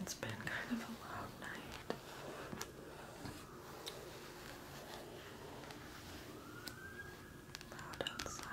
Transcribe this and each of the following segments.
It's been kind of a long night. Loud outside.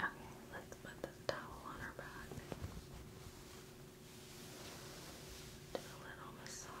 Okay, let's put this towel on her back. Do a little massage.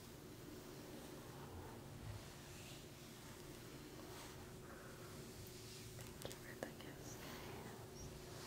Thank you for the gifts, guys. Thank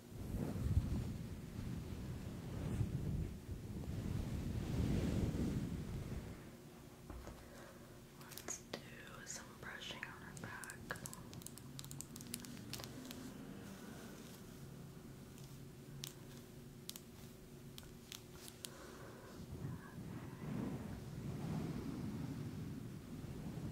Let's do some brushing on her back.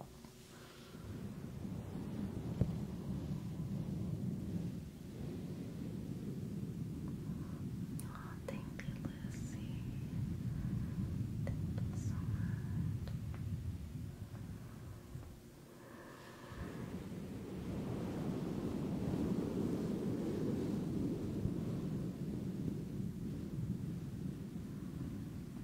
Oh, thank you, Lucy. Thank you so much.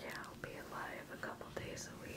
Yeah, I'll be alive a couple days a week.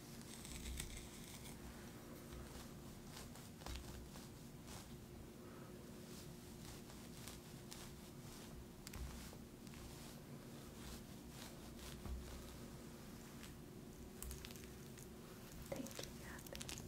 Thank you, Kathy. Okay.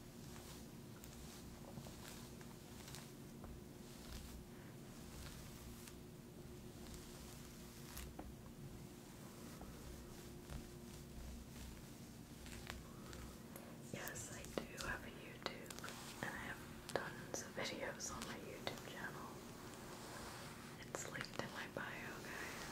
Yes, I do have a YouTube, and I have tons of videos on my YouTube channel. It's linked in my bio, guys.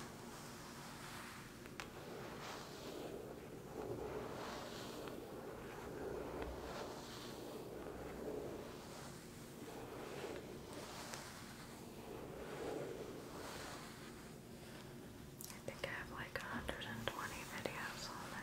I think I have like 120 videos on there.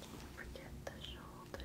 Don't forget the shoulders. Good.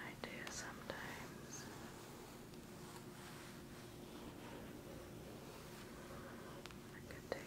I do sometimes. I could take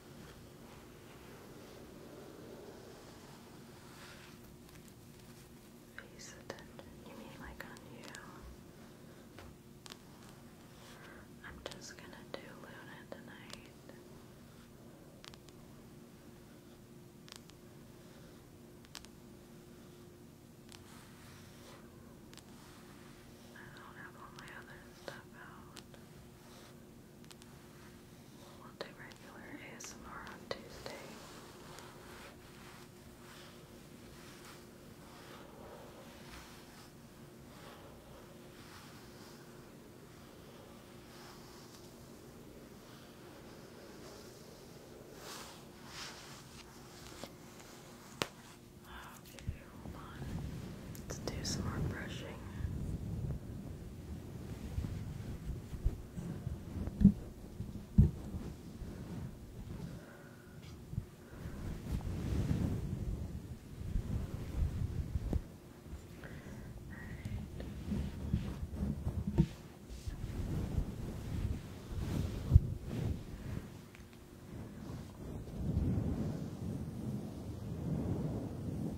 Face attention. You mean like on you? I'm just gonna do Luna tonight. I don't have all my other stuff out. We'll do regular ASMR on Tuesday. I'll give Let's do some more brushing.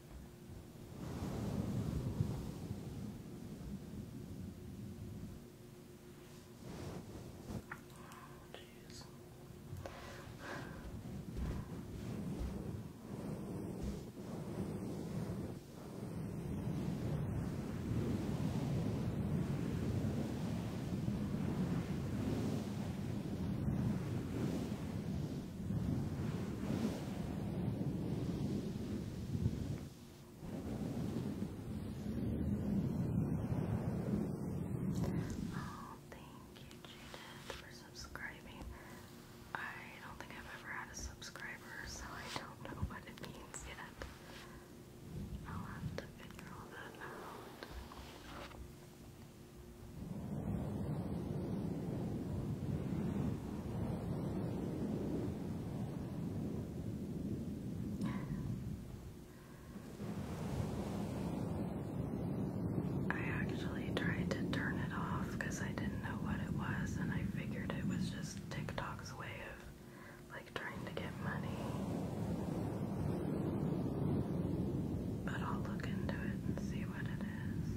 Oh, jeez. Oh, thank you, Judith, for subscribing. I don't think I've ever had a subscriber, so I don't know what it means yet. I'll have to figure all that out. I actually tried to turn it off because I didn't know what it was, and I figured it was just TikTok's way of like trying to get money. But I'll look into it and see what it is.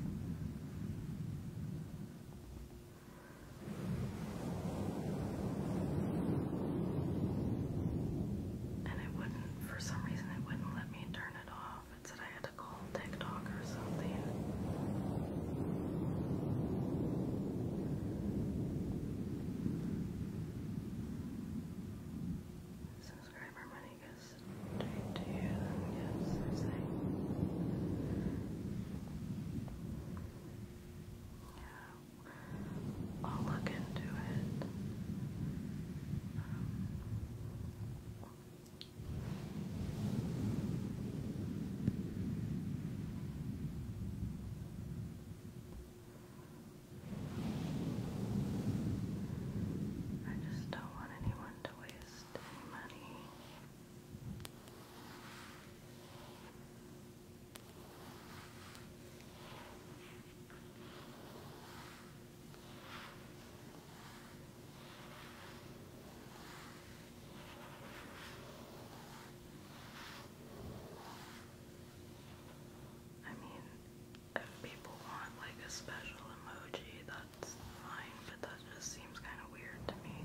And it wouldn't, for some reason, it wouldn't let me turn it off. It said I had to call TikTok or something. Subscriber money goes straight you. Yes, Yeah, I'll look into it. I just don't want anyone to waste money. I mean, if people want like a special emoji that that's fine, but that just seems kind of weird to me.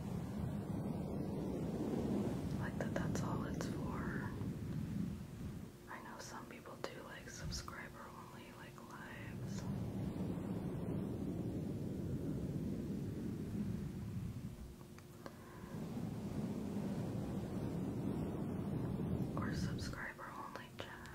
Like that that's all it's for. I know some people do like subscriber only like lives. Or subscriber only chat.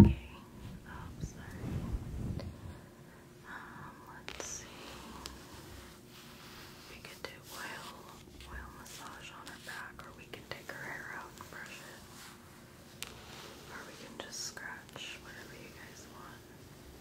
Okay. Oh, sorry. Um, let's see. We could do oil, oil massage on her back, or we can take her hair out and brush it. Or we can just scratch whatever you guys want.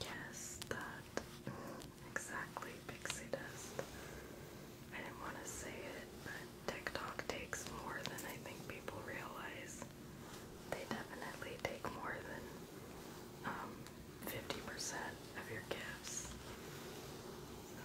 Yes, that exactly pixie dust. I didn't want to say it, but TikTok takes more than I think people realize. They definitely take more than 50% um, of your gifts. So.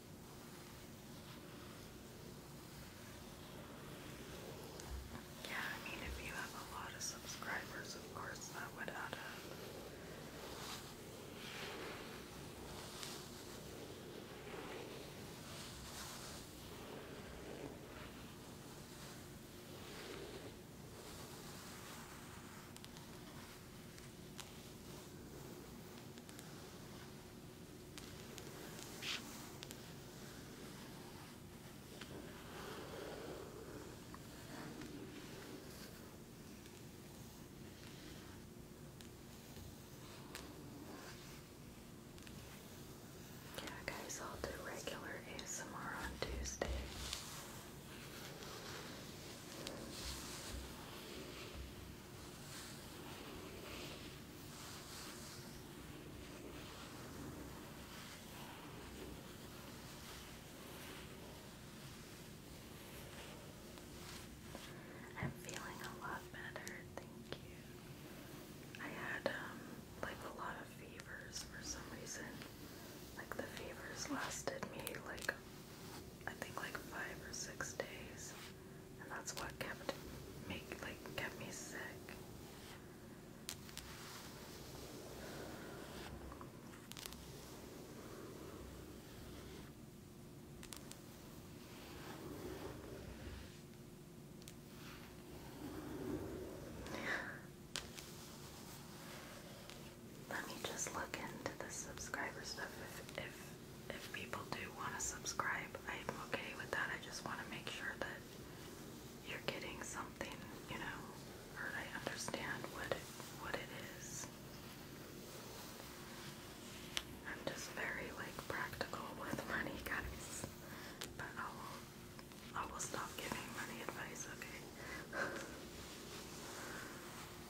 Yeah, I mean, if you have a lot of subscribers, of course that would add up. Yeah, guys, I'll do regular ASMR on Tuesday. I'm feeling a lot better, thank you. I had um, like a lot of fevers for some reason. Like the fevers lasted me like I think like five or six days and that's what kept make like kept me sick. Let me just look into the subscriber stuff if if people do want to subscribe, I'm okay with that. I just want to make sure that you're getting something, you know, or I understand what what it is. I'm just very like practical with money, guys. But I will, I will stop giving money advice, okay?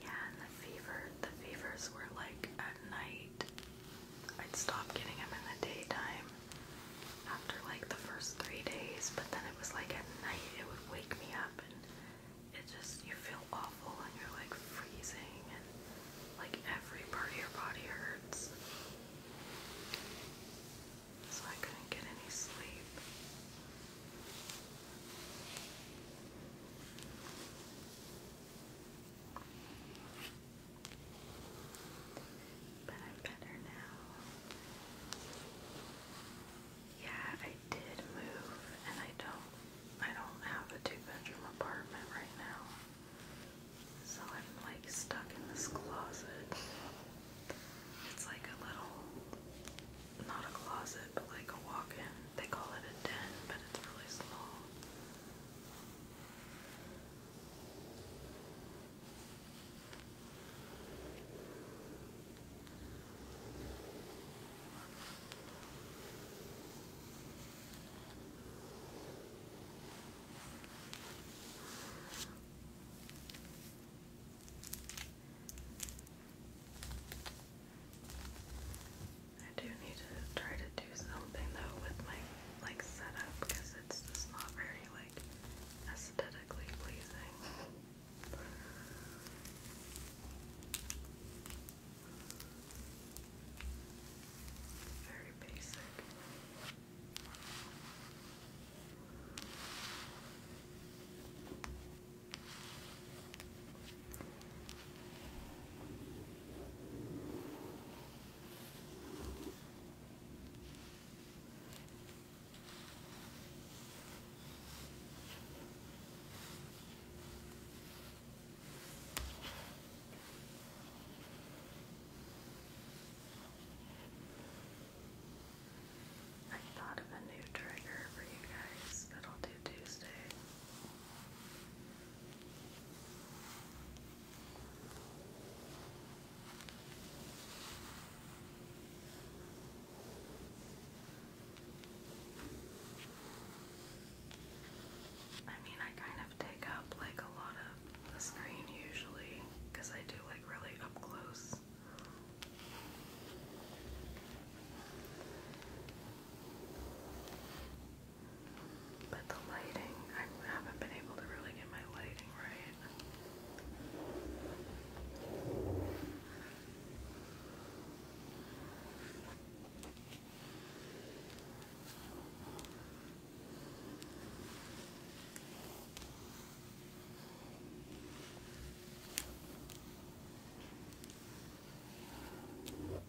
Yeah, and the fever, the fevers were like at night. I'd stop getting them in the daytime after like the first three days, but then it was like at night it would wake me up and it just, you feel awful and you're like freezing and like every part of your body hurts. So I couldn't get any sleep. But I'm better now. Yeah, I did move and I don't I don't have a two bedroom apartment right now. So I'm like stuck in this closet. It's like a little not a closet, but like a walk-in. They call it a den, but it's really small. I do need to try to do something though with my like setup because it's just not very like aesthetically pleasing. Very basic. I thought of a new trigger for you guys that'll do Tuesday. I mean, I kind of take up like a lot of the screen usually because I do like really up close. But the lighting, I haven't been able to really get my lighting right.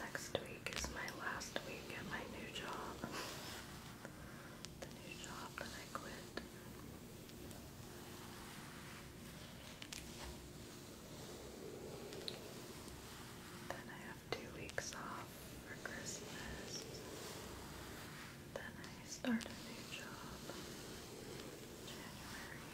Next week is my last week at my new job. the new job that I quit. Then I have two weeks off for Christmas. Then I start a new job January.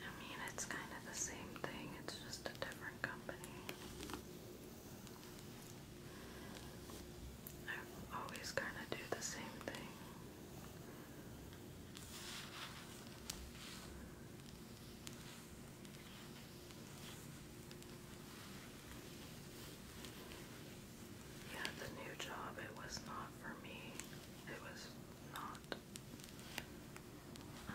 I mean, it's kind of the same thing, it's just a different company. I am always gonna do the same thing. Yeah, the new job, it was not for me. It was not. Um,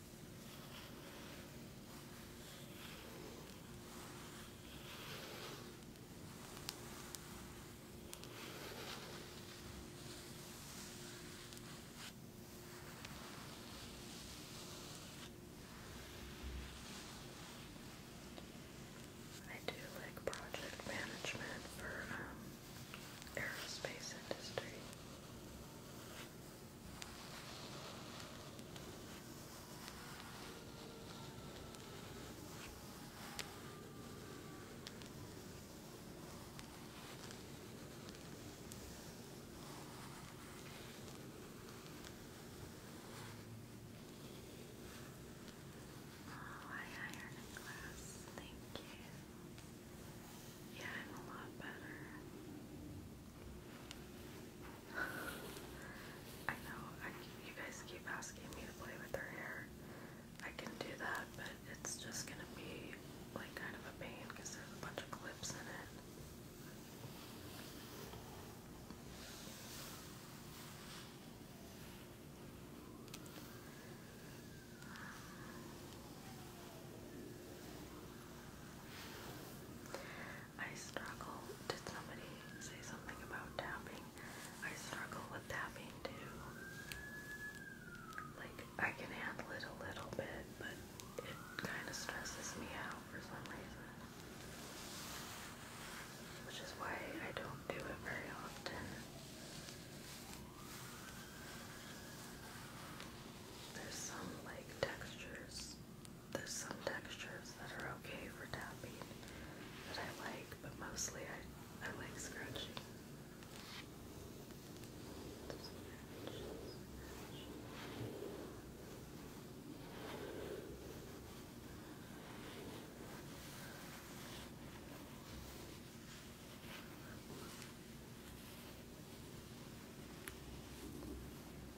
I do like project management for um, aerospace industry. Oh, I iron a glass. Thank you. Yeah, I'm a lot better. I know you guys keep asking me to play with her hair. I can do that, but it's just gonna be like kind of a pain because there's a bunch of clips in it. I struggle. Did somebody say something about tapping? I struggle with tapping too. Like, I can handle it a little bit, but it kind of stresses me out for some reason. Which is why I don't do it very often. There's some like textures there's some textures that are okay for tapping that I like, but mostly I, I like scratching.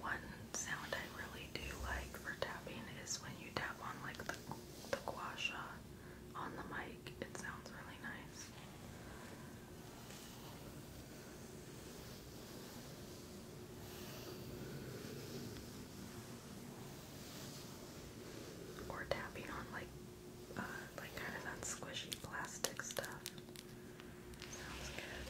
one sound I really do like for tapping is when you tap on like the the gua on the mic. It sounds really nice. Or tapping on like uh, like kind of that squishy plastic stuff. Sounds good.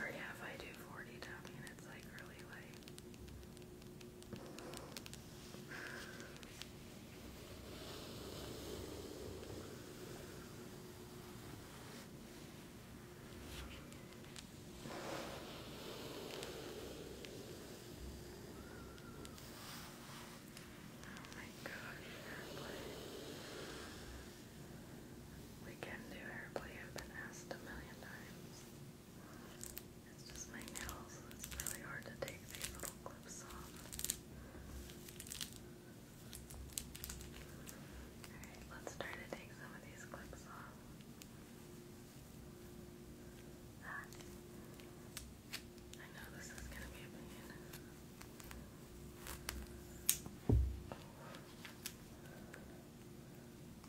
Or yeah, if I do 40 I mean it's like really late. Oh my gosh, We can do airplay, I've been asked a million times. It's just my nails, it's really hard to take these little clips off. Alright, let's try to some of these clips off. I know this is gonna be a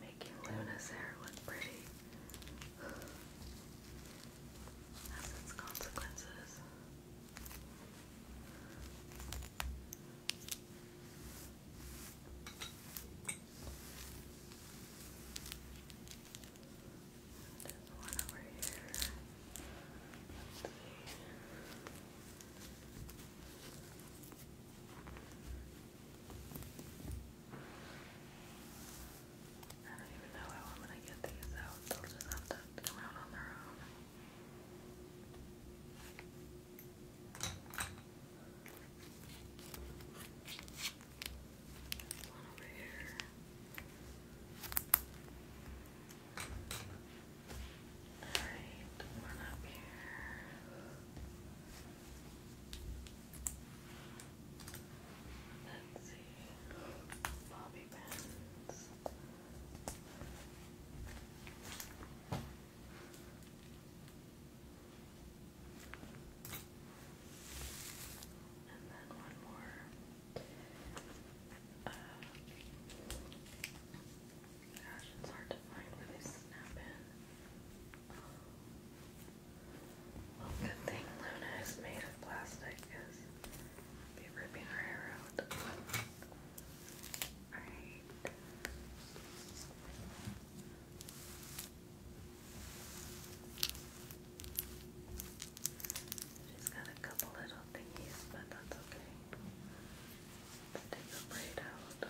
Making Luna's hair look pretty has its consequences one over here. I don't even know how I'm gonna get these out. They'll just have to come out on their own. One over here. Alright, one up here. Let's see. Bobby pins. And then one more. Uh, gosh, hard to find where they snap in. Well, oh, good thing Luna is made of plastic because be ripping her hair out. Alright. She's got a couple little thingies, but that's okay. take the braid out.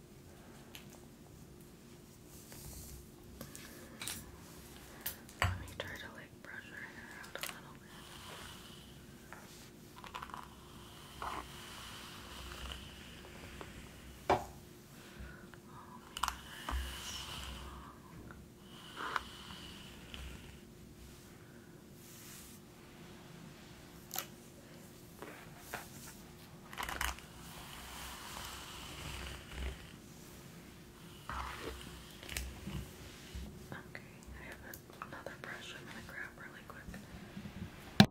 Let me try to like brush her hair out a little bit. Okay, I have another brush I'm going to grab really quick.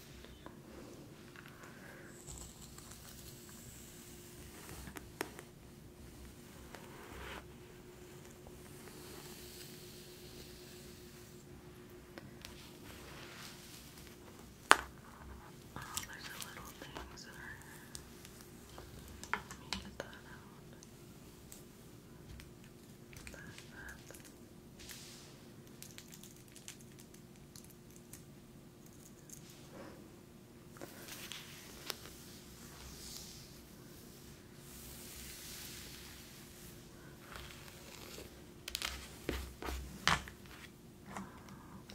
Oh, there's little things that are. Let me get out.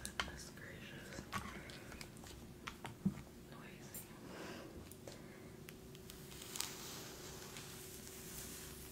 Goodness gracious. Noisy.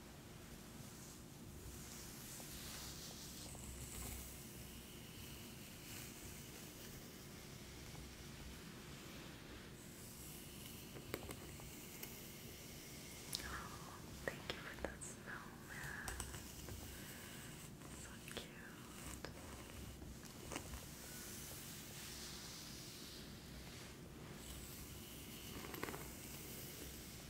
Oh, thank you for that snowman. So cute.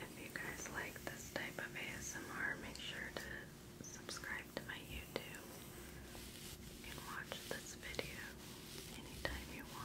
If you guys like this type of ASMR, make sure to subscribe to my YouTube. You can watch this video anytime you want.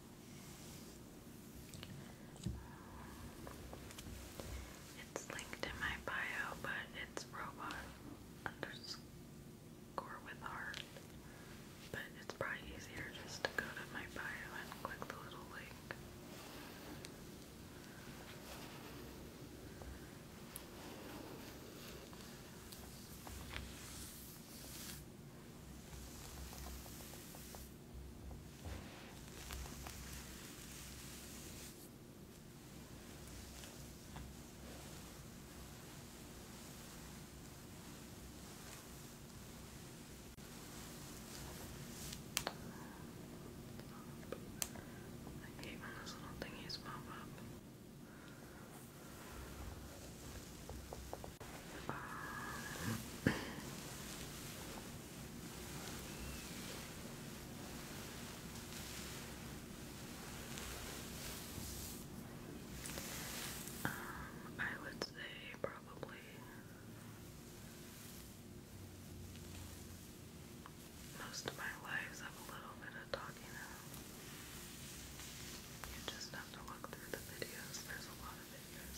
It's linked in my bio, but it's robot underscore with heart. But it's probably easier just to go to my bio and click the little link. I hate when those little thingies pop up. Um, um, I would say probably most of my lives have a little bit of talking now. You just have to look through the videos. There's a lot of videos.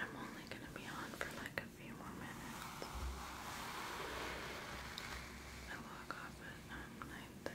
I'm only going to be on for like a few more minutes. I walk off at um, 9.30.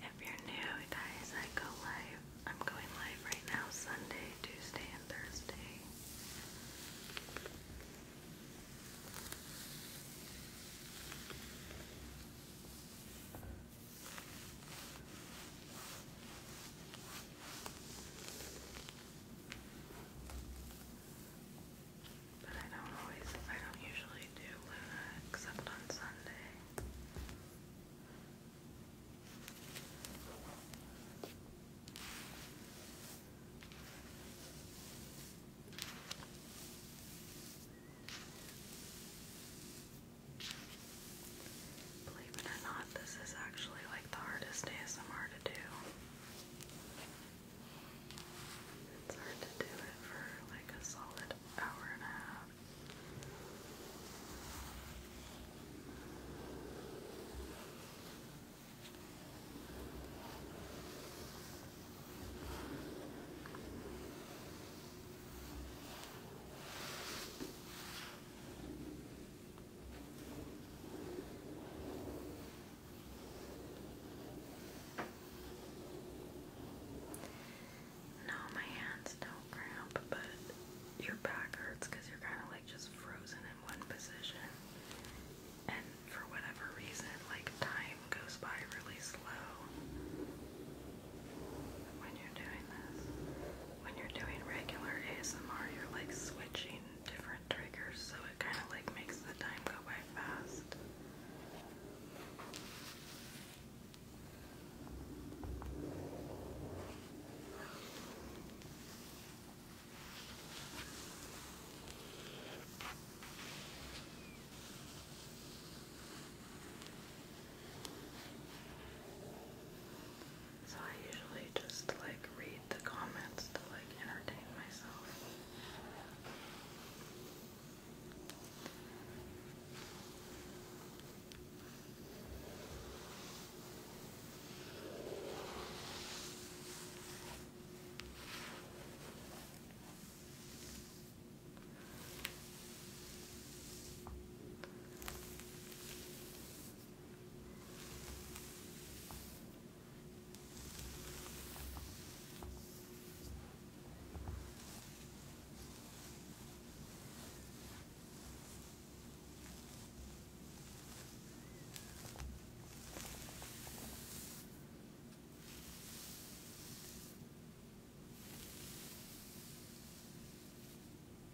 If you're new, guys, I go live. I'm going live right now Sunday, Tuesday, and Thursday. But I don't always, I don't usually do Luna except on Sunday. Believe it or not, this is actually like the hardest ASMR to do. It's hard to do it for like a solid hour and a half. I no, my hands don't cramp, but your back hurts because you're kind of like just frozen in one position. And for whatever reason, like time goes by really slow when you're doing this. When you're doing regular ASMR, you're like switching different triggers, so it kind of like makes the time go by fast. So I usually just like read the comments to like entertain myself.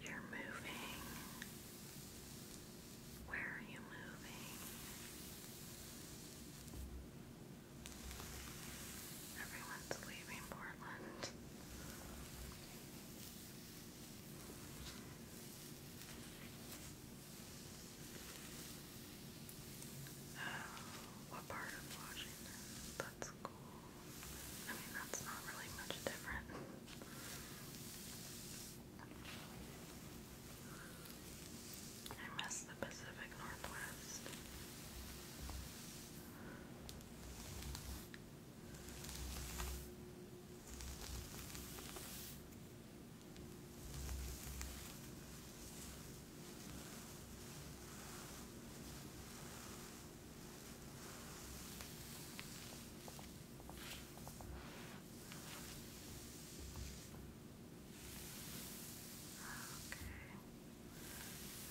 You're moving where are you moving? Everyone's leaving Portland. Oh, what part of Washington? That's cool. I mean, that's not really much different. I miss the Pacific Northwest. Okay.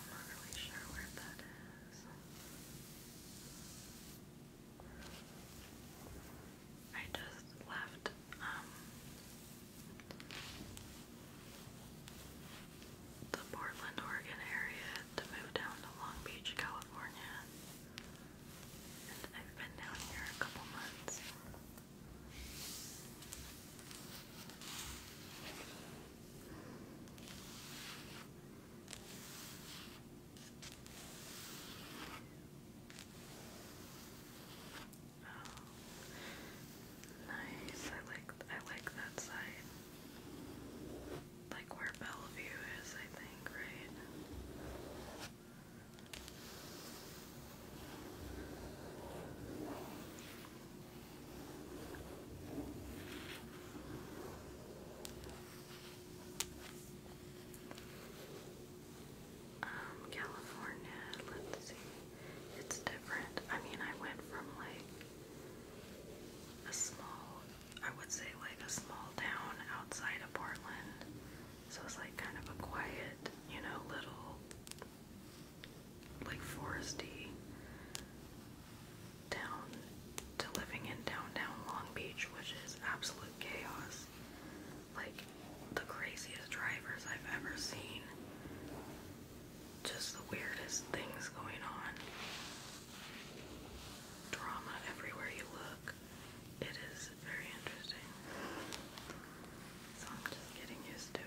I'm not really sure where that is. I just left, um, the Portland, Oregon area to move down to Long Beach, California. And I've been down here a couple months. Oh, nice. I like I like that side. Like where Bellevue is, I think, right? Um, California, let's see. It's different. I mean, I went from like a small, I would say like a small town outside of Portland so it's like kind of a quiet, you know, little like foresty down to living in downtown Long Beach, which is absolute chaos. Like the craziest drivers I've ever seen. Just the weirdest things going on. Drama everywhere you look. It is very interesting. So I'm just getting used to it.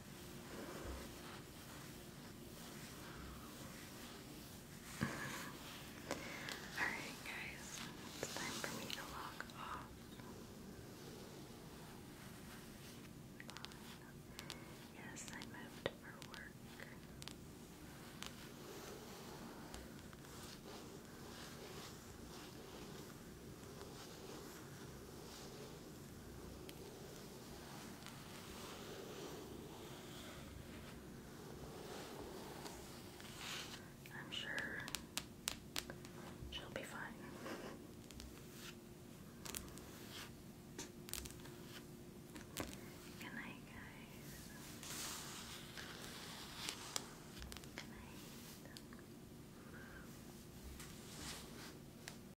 Alright, guys, it's time for me to log off. Yes, I moved for work. I'm sure she'll be fine. Good night, guys. Good night.